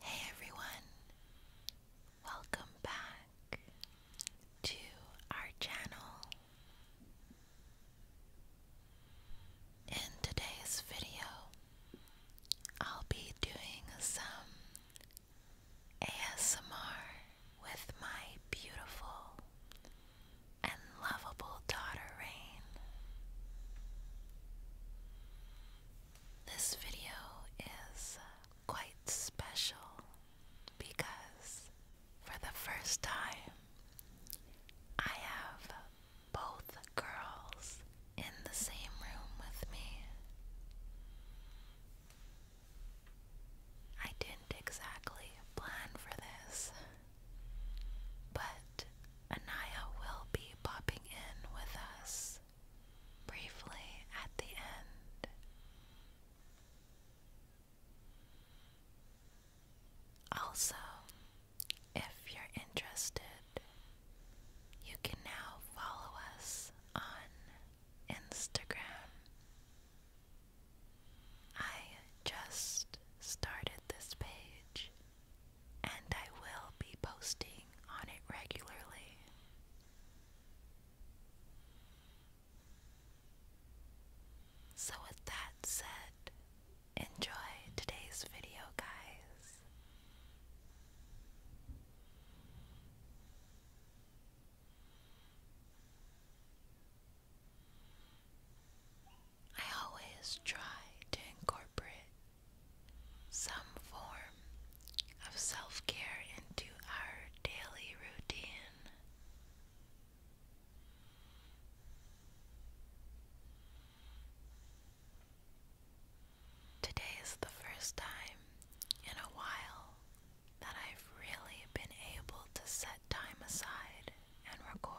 Hey everyone, welcome back to our channel. In today's video, I'll be doing some ASMR with my beautiful and lovable daughter Rain. This video is uh, quite special because for the first time I have both girls in the same room with me. I didn't exactly plan for this. But Anaya will be popping in with us briefly at the end. Also, if you're interested, you can now follow us on Instagram I just started this page and I will be posting on it regularly. So, with that said, enjoy today's video, guys. I always try to incorporate some form of self care into our daily routine. Today is the first time in a while that I've really been able to set time aside and record.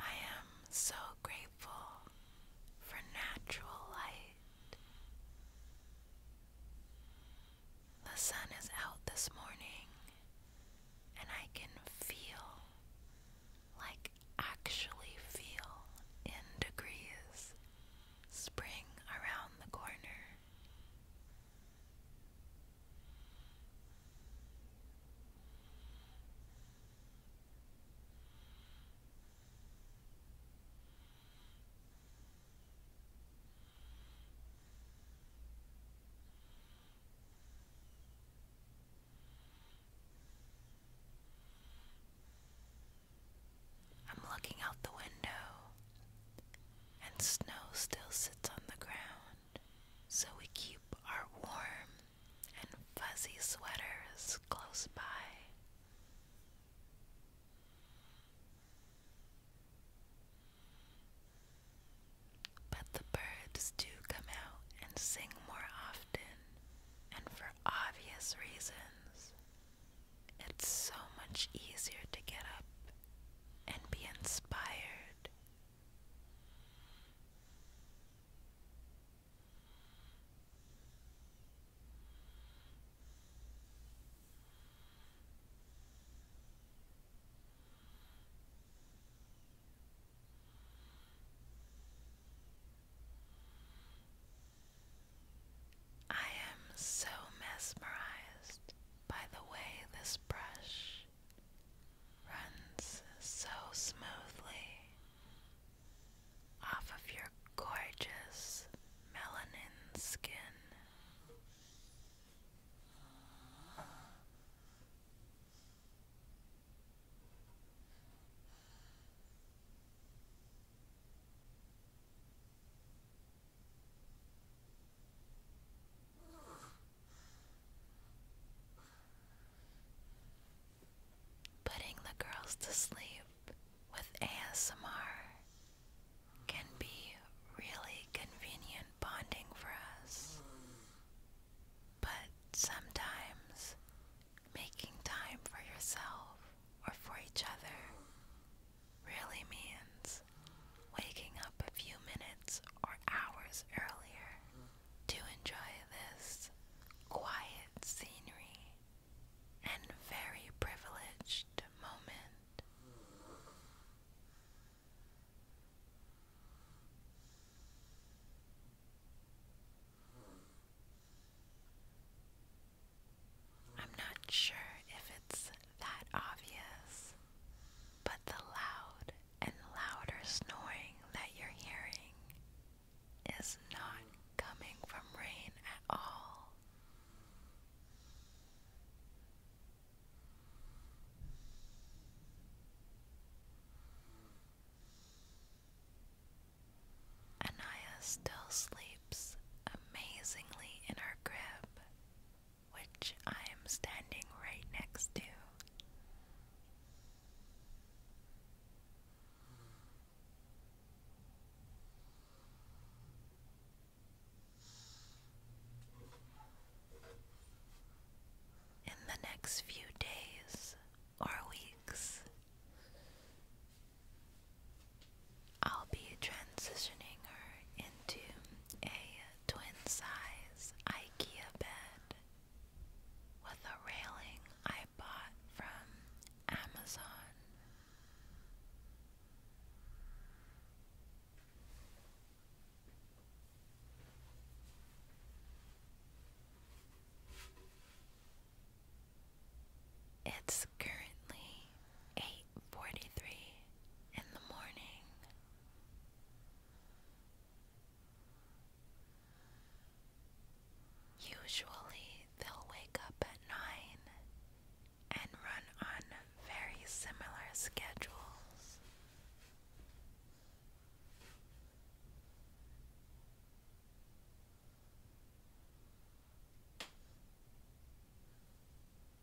I am so grateful for natural light. The sun is out this morning, and I can feel, like actually feel, in degrees, spring around the corner. I'm looking out the window and snow still sits on the ground, so we keep our warm and fuzzy sweaters close by. But the birds do come out and sing more often, and for obvious reasons. It's so much easier to get up and be inspired. I am so mesmerized by the way this brush runs so smoothly off of your gorgeous melanin skin. Putting the girls to sleep with ASMR can be really convenient bonding for us, but sometimes making time for yourself or for each other really means waking up a few minutes or hours earlier to enjoy this quiet scenery and very privileged moment. I'm not sure if it's that obvious, but the loud and louder snoring that you're hearing is not coming from rain at all. Anaya still sleeps amazingly in her crib, which I am standing right next to. In the next few days or weeks, I'll be transitioning her into a twin size IKEA bed with a railing I bought from Amazon. It's currently 8:43 in the morning. Usually they'll wake up at 9 and run on very similar schedules.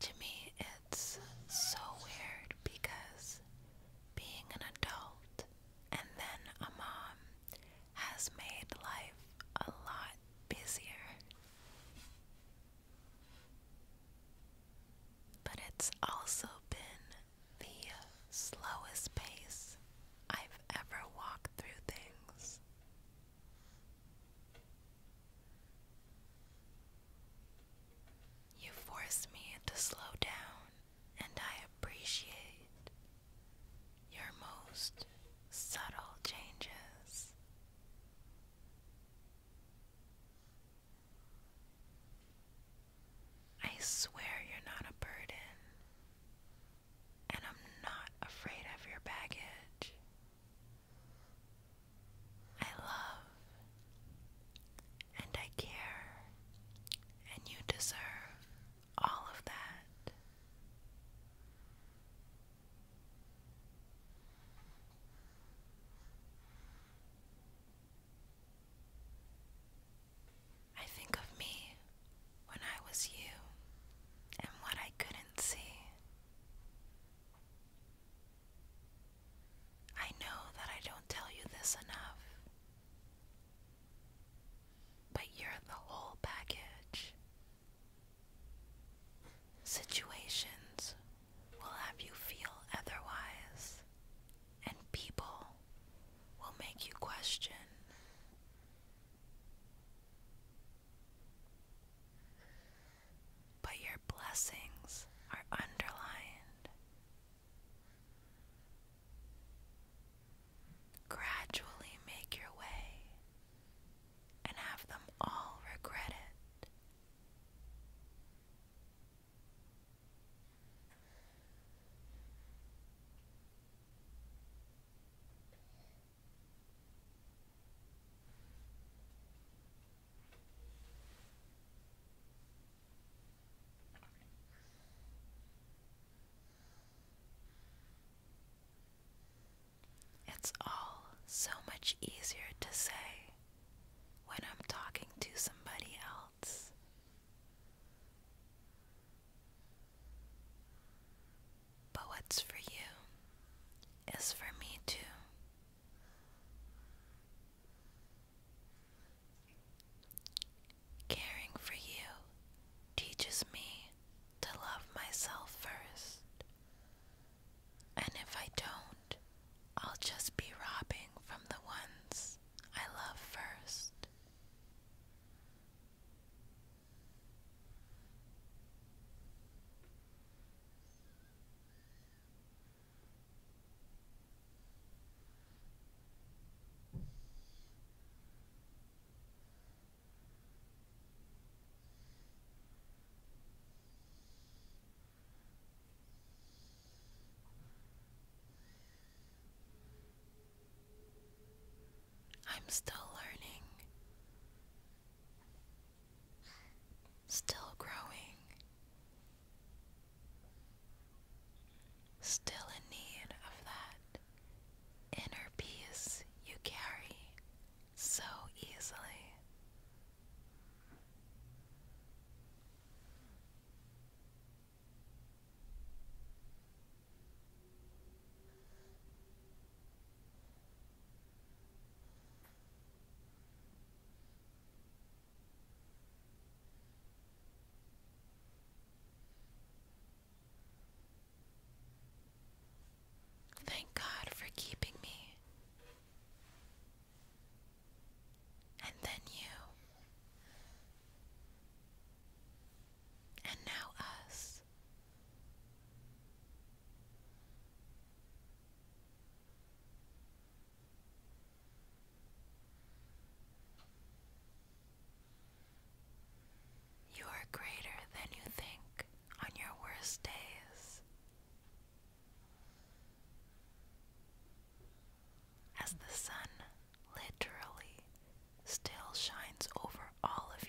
To me, it's so weird because being an adult and then a mom has made life a lot busier. But it's also been the slowest pace I've ever walked through things. You force me to slow down, and I appreciate your most subtle changes. I swear you're not a burden, and I'm not afraid of your baggage. I love and I care, and you deserve all of that. I think of me when I was you and what I couldn't see. I know that I don't tell you this enough, but you're the whole package. Situations will have you feel otherwise and people will make you question. But your blessings are underlined. Gradually make your way and have them all regret it. It's all so much easier to say when I'm talking to somebody else. But what's for you is for me too. Caring for you teaches me to love myself first. And if I don't, I'll just be robbing from the ones I love first. I'm still learning, still growing, still in need of that inner peace you carry so easily. Thank God for keeping me and then you, and now us. You are greater than you think on your worst days as the sun literally still shines over all of you.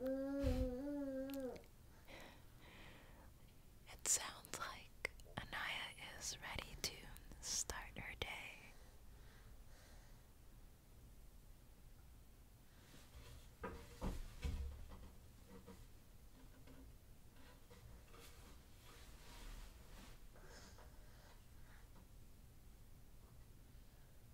It sounds like Anaya is ready to start her day.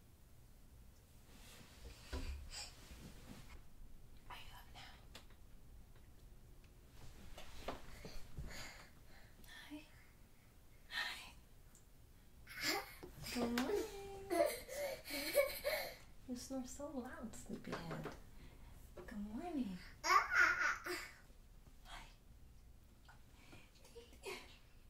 you Hi. Hi. Good morning. You snore so loud, sleepyhead. Good morning. Ah. Hi.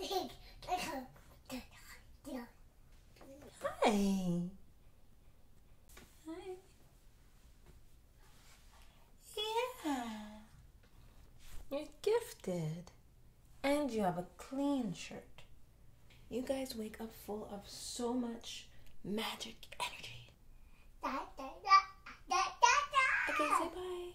Hi. Hi. Yeah. You're gifted. And you have a clean shirt. You guys wake up full of so much magic energy. okay, say bye.